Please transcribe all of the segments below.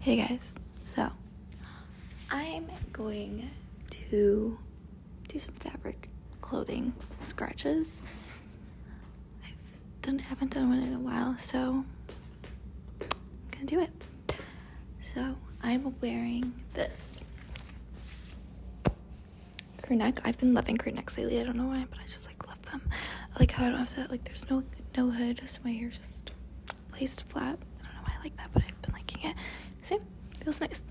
Hey guys, so I'm going to do some fabric clothing scratches. I done, haven't done one in a while, so I'm gonna do it. So I'm wearing this crew neck. I've been loving crew necks lately. I don't know why, but I just like love them. I like how I don't have to like. There's no no hood, so my hair just laced flap. I don't know why I like that, but I've been liking it. Same, feels nice.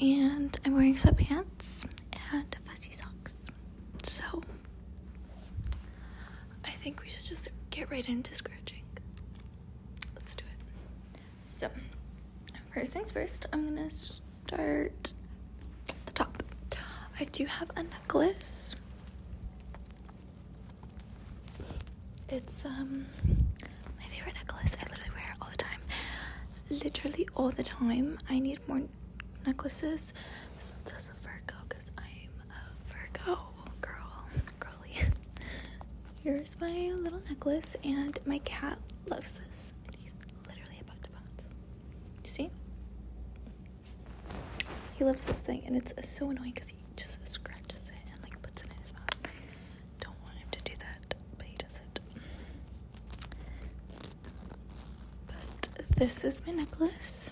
And I'm wearing sweatpants and fuzzy socks. So I think we should just get right into scratching. Let's do it. So first things first, I'm gonna start the top. I do have a necklace. It's um my favorite necklace. I literally wear it all the time. Literally all the time. I need more necklaces. This one says a Virgo because I'm a Virgo girl. Girly. Here's my little necklace and my cat loves this. he's literally about to bounce. You see? He loves this thing, and it's so annoying because he just scratches it and like puts it in his mouth. Don't want him to do that, but he does it. But this is my necklace.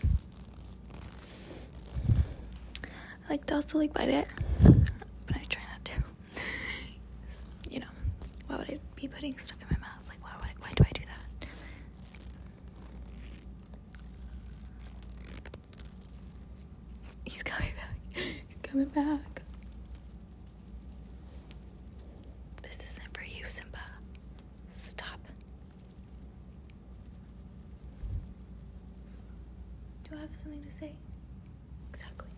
I like to also like bite it, but I try not to. you know, why would I be putting stuff in my mouth? Like, why why do I do that? He's coming back. He's coming back. This isn't for you, Simba. Stop. Do I have something to say? Exactly.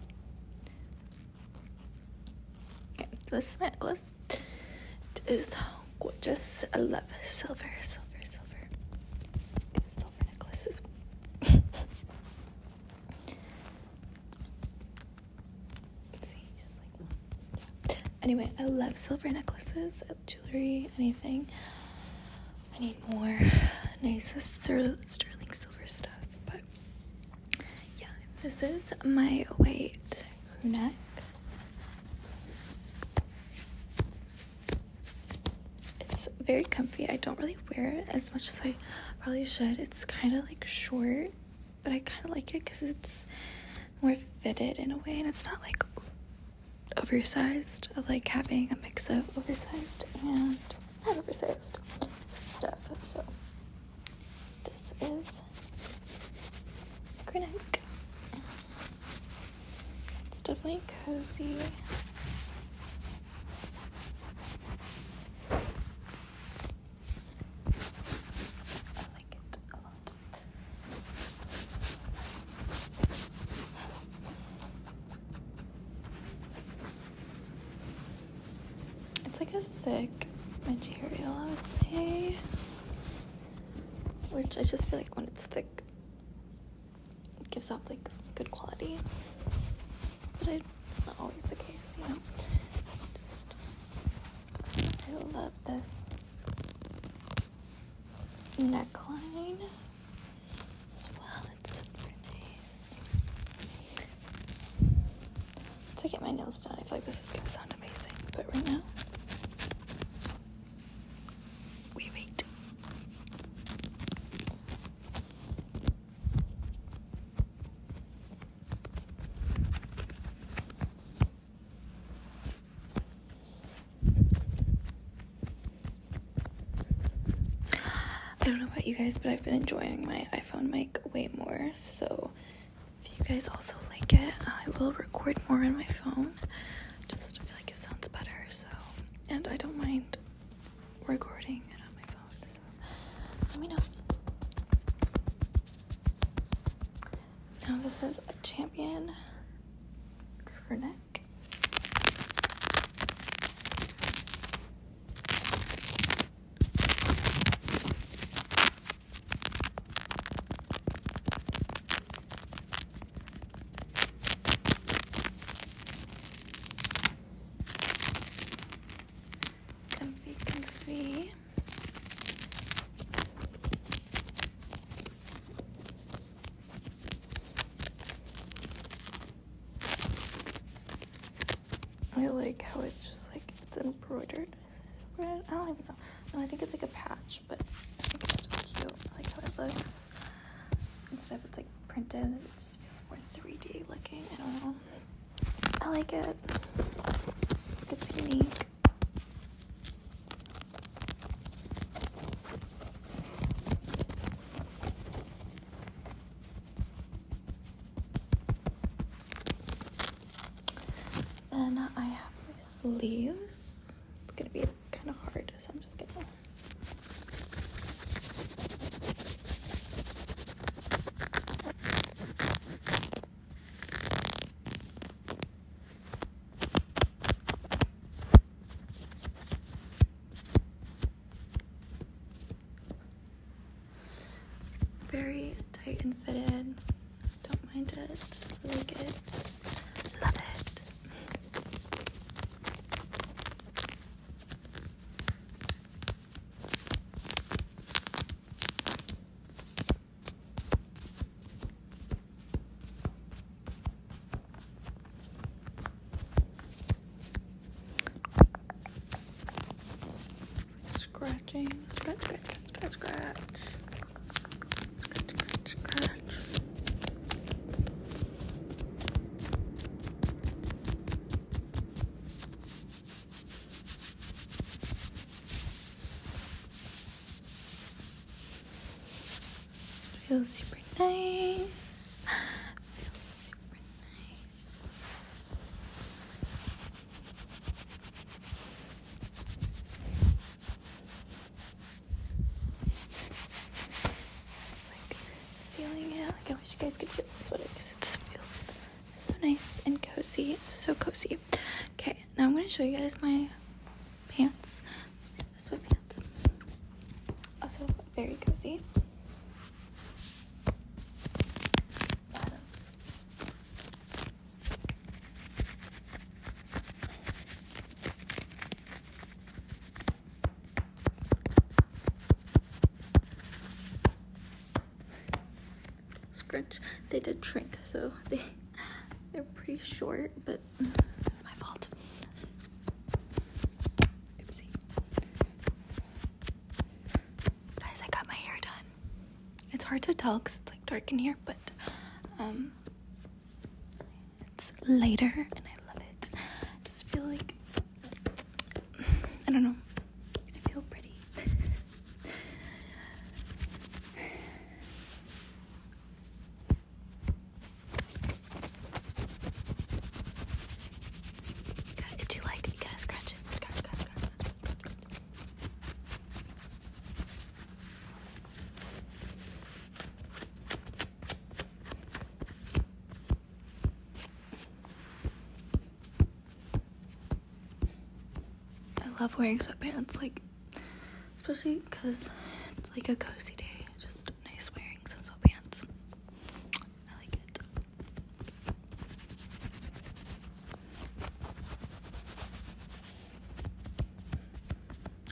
Okay, this is my necklace this. It is gorgeous. I love silver, silver, silver, silver necklaces. Anyway, I love silver necklaces, jewelry, anything. I need more nice sterling silver stuff, but yeah, this is my white crew neck it's very comfy. I don't really wear it as much as I probably should. It's kind of like short, but I kind of like it because it's more fitted in a way, and it's not like oversized. I like having a mix of oversized and not oversized stuff. So this is green egg. It's definitely cozy. I like it a lot. It's like a thick material, I would say. Which I just feel like when it's thick, it gives off like good quality. But it's not always the case, you know. I love this neckline as well. It's super nice to get my nails done. I feel like this is gonna sound amazing, but right now, we wait. I don't know about you guys, but I've been enjoying my iPhone mic way more, so if you guys also like it, I will record more on my phone. Just I feel like it sounds better, so and I don't mind recording it on my phone, so let me know. Now this is a champion crew neck. Comfy, comfy. I like how it's just like it's embroidered. Is it embroidered? I don't even know. I think it's like a patch, but I think it's still cute. I like how it looks. Instead of it's like printed, it just feels more 3D looking. I don't know. I like it. It's unique. Then I have my sleeves. It's gonna be kind of hard, so I'm just gonna. Very tight and fitted. Don't mind it. Like it. Love it. Scratching, scratch, scratch, scratch, scratch. Scratch, scratch, Feels super nice. Feels super nice this. Like feeling it. Like I wish you guys could feel this sweater because it feels so nice and cozy. So cozy. Okay, now I'm gonna show you guys my pants. Sweatpants. Also very cozy. Scrunch. They did shrink, so they they're pretty short, but it's my fault. Oopsie. Guys, I got my hair done. It's hard to tell because it's like dark in here, but um, it's lighter and I love it. I just feel like I don't know. I feel pretty. Got it too light. You got scratch it. scratch, scratch, scratch, scratch. I love wearing sweatpants, like, especially because it's like a cozy day. Just nice wearing some sweatpants. I like it.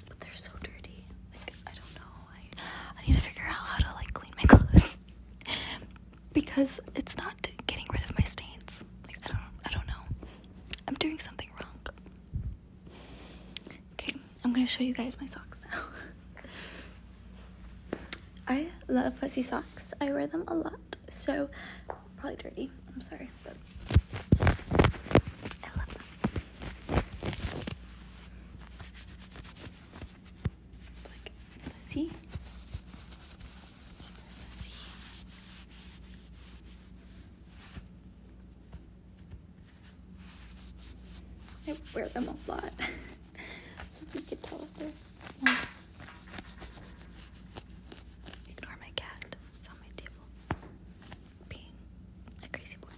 But they're so dirty. Like I don't know. I I need to figure out how to like clean my clothes because it's not getting rid of my stains. Like I don't I don't know. I'm doing something wrong. Okay. I'm gonna show you guys my socks now. I love fuzzy socks. I wear them a lot. So probably dirty. I'm sorry, but I love them. Like fuzzy. fuzzy. I wear them a lot. so you could tell if they're Ignore my cat. It's on my table. Being a crazy boy.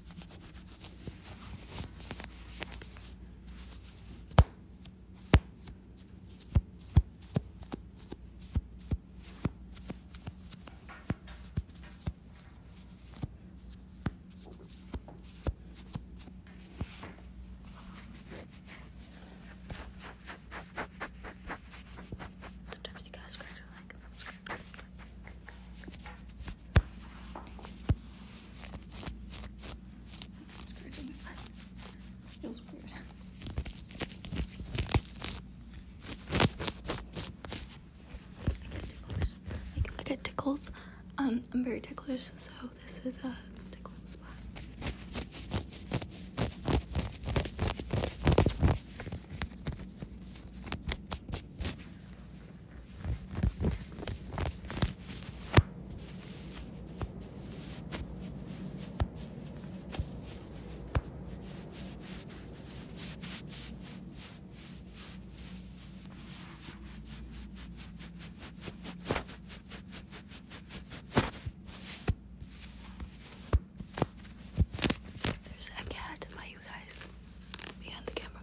Sometimes you got scratch your leg. Sometimes scratching my leg feels weird. I get ticklish. I get tickles. Um, I'm very ticklish, so this is a tickle spot. There's a cat by you guys behind the camera.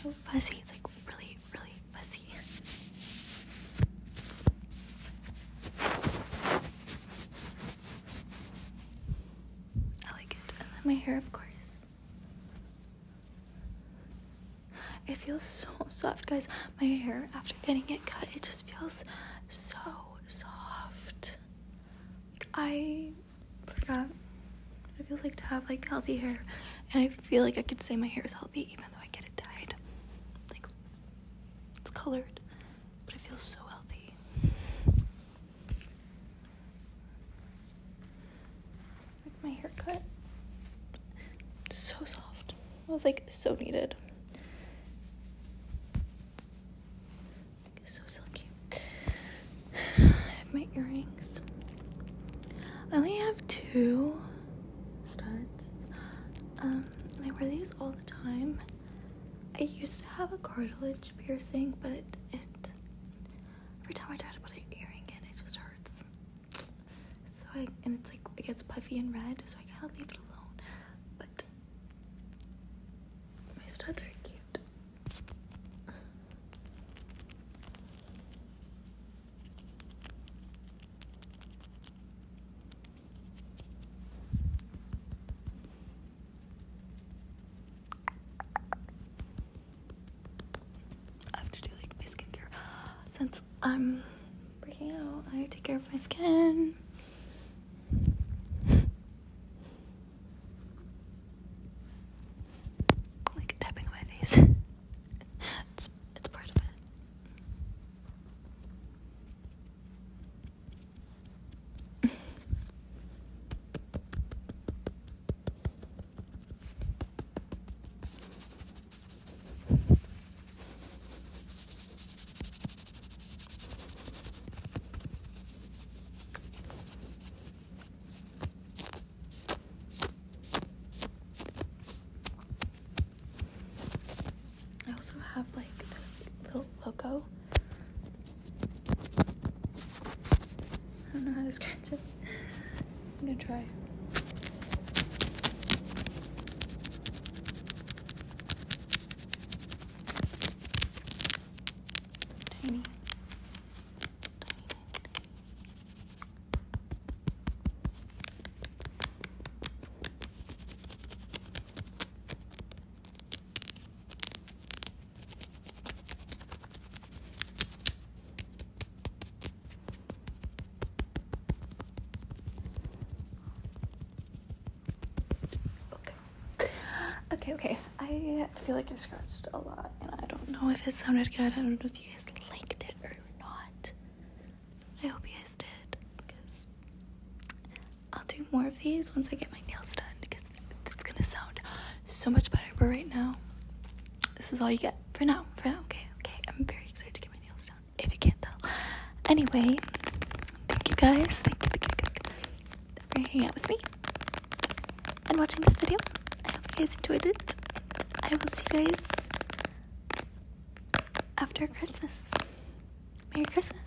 So fuzzy, it's like really, really fuzzy. I like it. And then my hair, of course. It feels so soft, guys. My hair, after getting it cut, it just feels so soft. I forgot what it feels like to have like healthy hair, and I feel like I could say my hair is healthy even though I get it dyed. Like, it's colored, but it feels so healthy my haircut. So soft. I was like so needed. So silky. I have my earrings. I only have two studs. Um, I wear these all the time. I used to have a cartilage piercing, but it every time I try to put an earring in, it just hurts. So I, and it's like, it gets puffy and red, so I gotta leave it alone. But my studs are cute. I have to do like my skincare. Since I'm breaking out, I take care of my skin. like tapping on my face. it's it's part of it. I also have like this little logo I don't know how to scratch it. I'm gonna try. Tiny. Tiny, tiny, Okay. Okay, okay. I feel like I scratched a lot and I don't know if it sounded good. I don't know if you guys liked it or not. I hope you guys did because I'll do more of these once I get my nails done because it's gonna sound so much better. But right now, this is all you get for now. For now, okay, okay. I'm very excited to get my nails done. If you can't tell. Anyway, thank you guys. Thank you, thank you for hanging out with me and watching this video. I hope you guys enjoyed it. I will see you guys after Christmas. Merry Christmas.